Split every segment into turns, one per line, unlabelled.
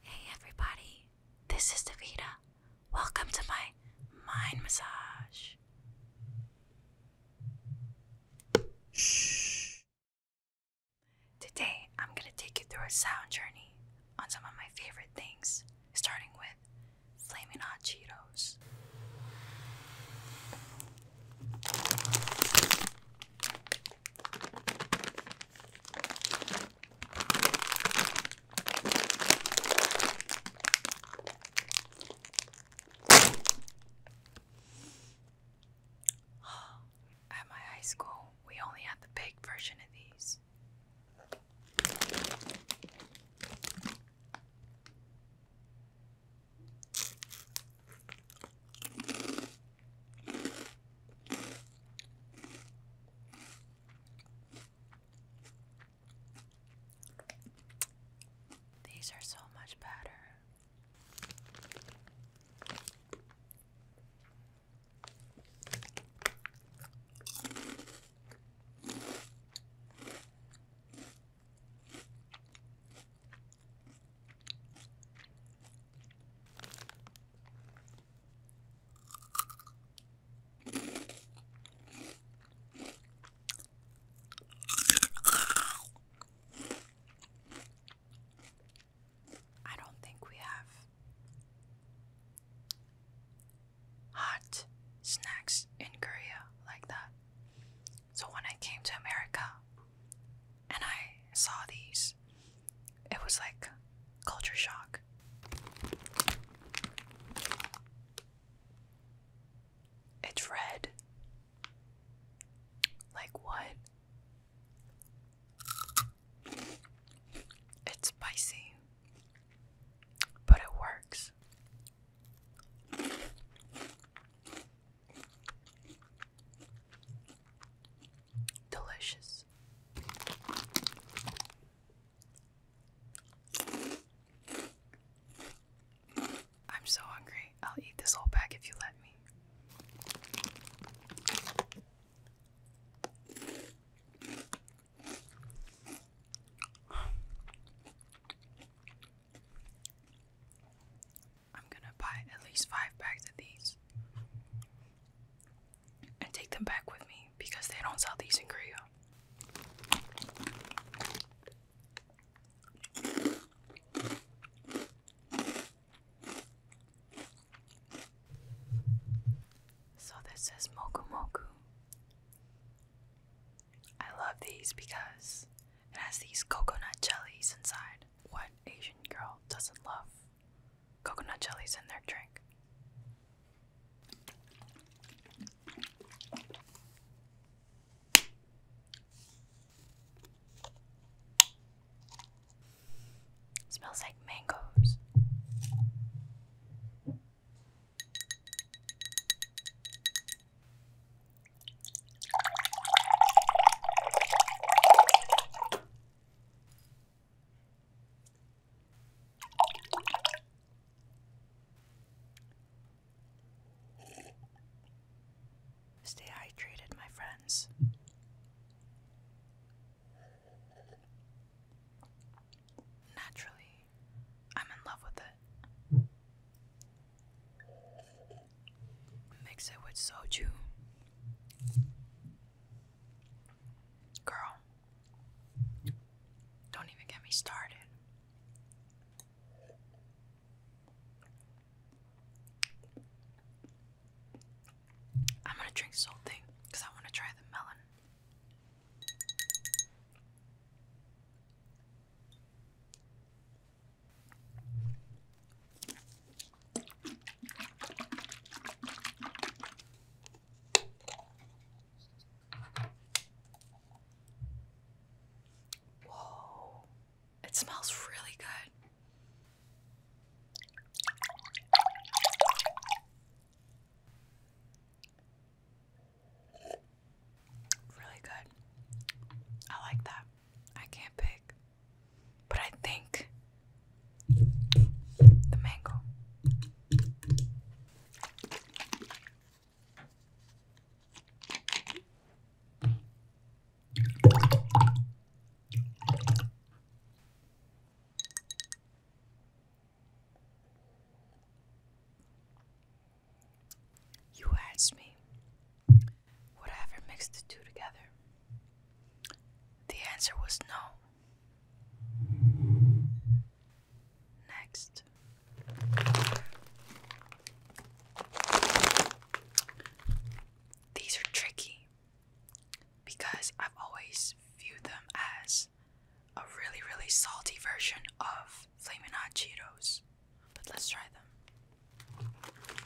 Hey everybody, this is Davida. Welcome to my mind massage. Today, I'm going to take you through a sound journey on some of my favorite things, starting with flaming Hot Cheetos. At my high school, we only had the big version of these. These are so much better. I don't think we have hot snacks in Korea like that. So when I came to America and I saw these, it was like culture shock. It's red. Like what? It's spicy, but it works. Delicious. I'm so hungry. I'll eat this whole bag if you let me. I'm gonna buy at least five bags of these and take them back with me because they don't sell these in Korea. So this is Moku I love these because it has these coconut jellies inside. What Asian girl doesn't love coconut jellies in their drink. Smells like mangoes. Stay hydrated, my friends. Naturally, I'm in love with it. Mix it with soju. Girl, don't even get me started. I'm gonna drink this whole thing because I want to try the melon. Whoa, it smells really good. Really good. I like that. I can't pick. But I think the mango. You asked me, would ever mix the two together? The answer was no. Next. These are tricky because I've always viewed them as a really, really salty version of Flamin' Hot Cheetos. But let's try them.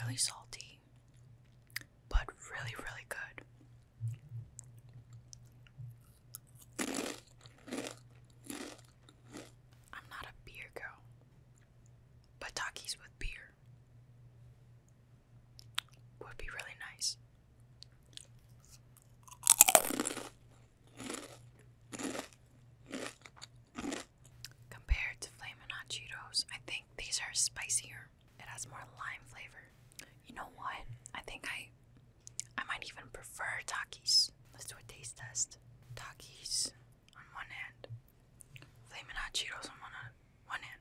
really salty, but really, really good. I'm not a beer girl, but Takis with beer would be really nice. Compared to Flamin' Hot Cheetos, I think these are spicier. It has more lime flavor. You know what? I think I I might even prefer Takis. Let's do a taste test. Takis on one hand. Flamin' Hot Cheetos on one, one hand.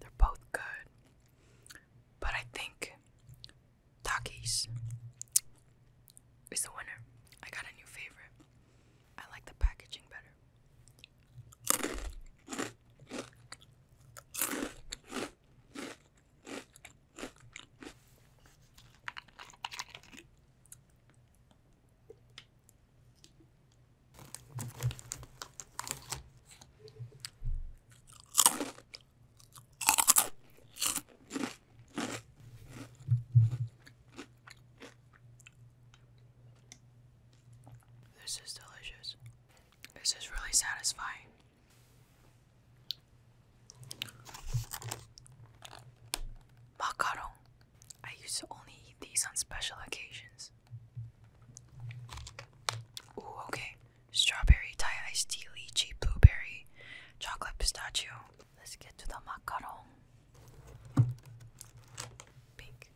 They're both good, but I think Takis is the winner. I got a new favorite. I like the packaging better. This is delicious. This is really satisfying. Macaron. I used to only eat these on special occasions. Ooh, okay. Strawberry Thai iced tea, lychee, blueberry, chocolate pistachio. Let's get to the macaron. Pink.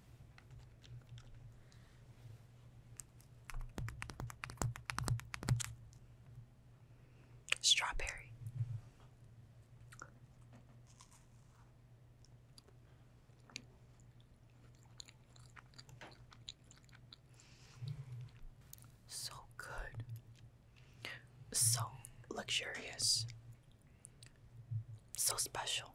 Strawberry. So good. So luxurious. So special.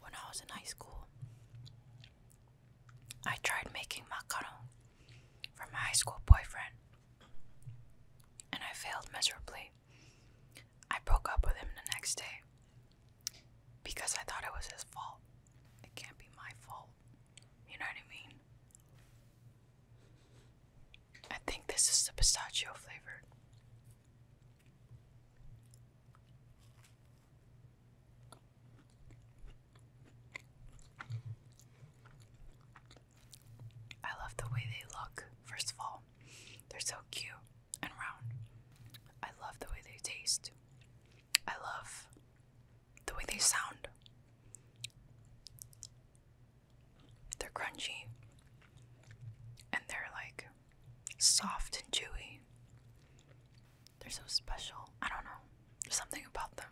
When I was in high school, I tried making macaron for my high school boyfriend, and I failed miserably. I broke up with him the next day because I thought it was his fault. It can't be my fault you know what I mean? I think this is the pistachio flavored. I love the way they look, first of all. They're so cute and round. I love the way they taste. I love the way they sound. They're crunchy and they're like soft and chewy. They're so special. I don't know. something about them.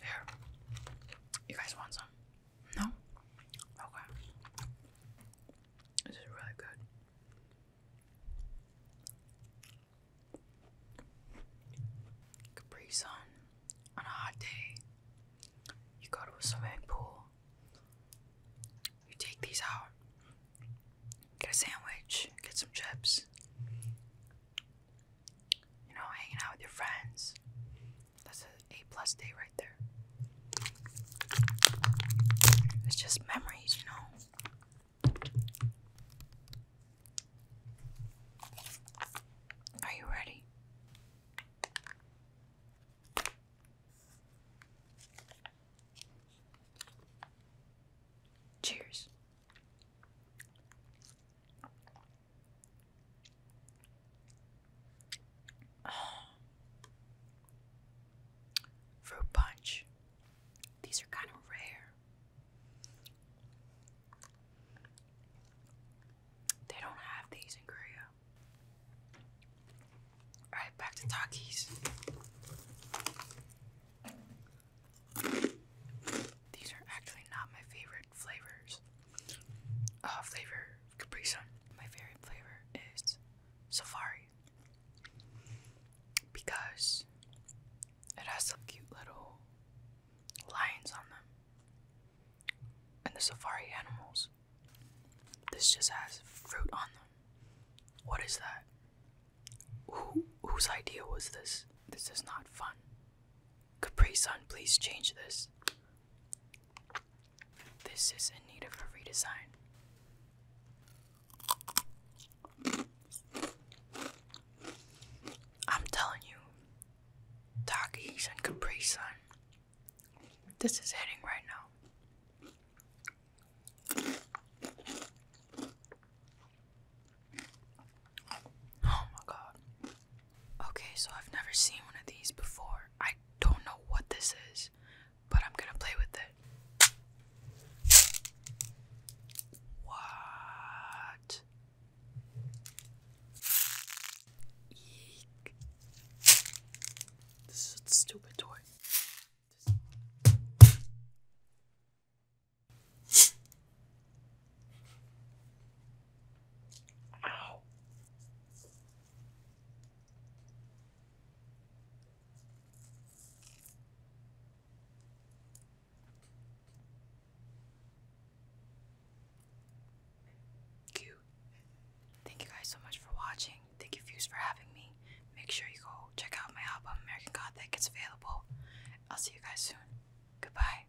Here. You guys want some? No? Okay. This is really good. Capri on a hot day. You go to a swimming pool. You take these out. Get a sandwich. Get some chips. You know, hanging out with your friends. That's an A plus day right there. It's just memories, you know. Are you ready? Cheers. Fruit punch. These are kind of rare. They don't have these in Korea. Alright, back to Takis. These are actually not my favorite flavors. Uh, flavor Capri Sun. My favorite flavor is Safari because it has some cute little lions on them and the safari animals. This just has fruit on them. What is that? Who, whose idea was this? This is not fun. Capri Sun, please change this. This is in need of a redesign. I'm telling you, Takis and Capri Sun. This is hitting right now. Oh my god. Okay, so I've never seen one of these before. I don't know what this is, but I'm gonna play with it. What? This is a stupid toy. Cute. Thank you guys so much for watching. Thank you Fuse for having me. Make sure you go check out my album American Gothic. It's available. I'll see you guys soon. Goodbye.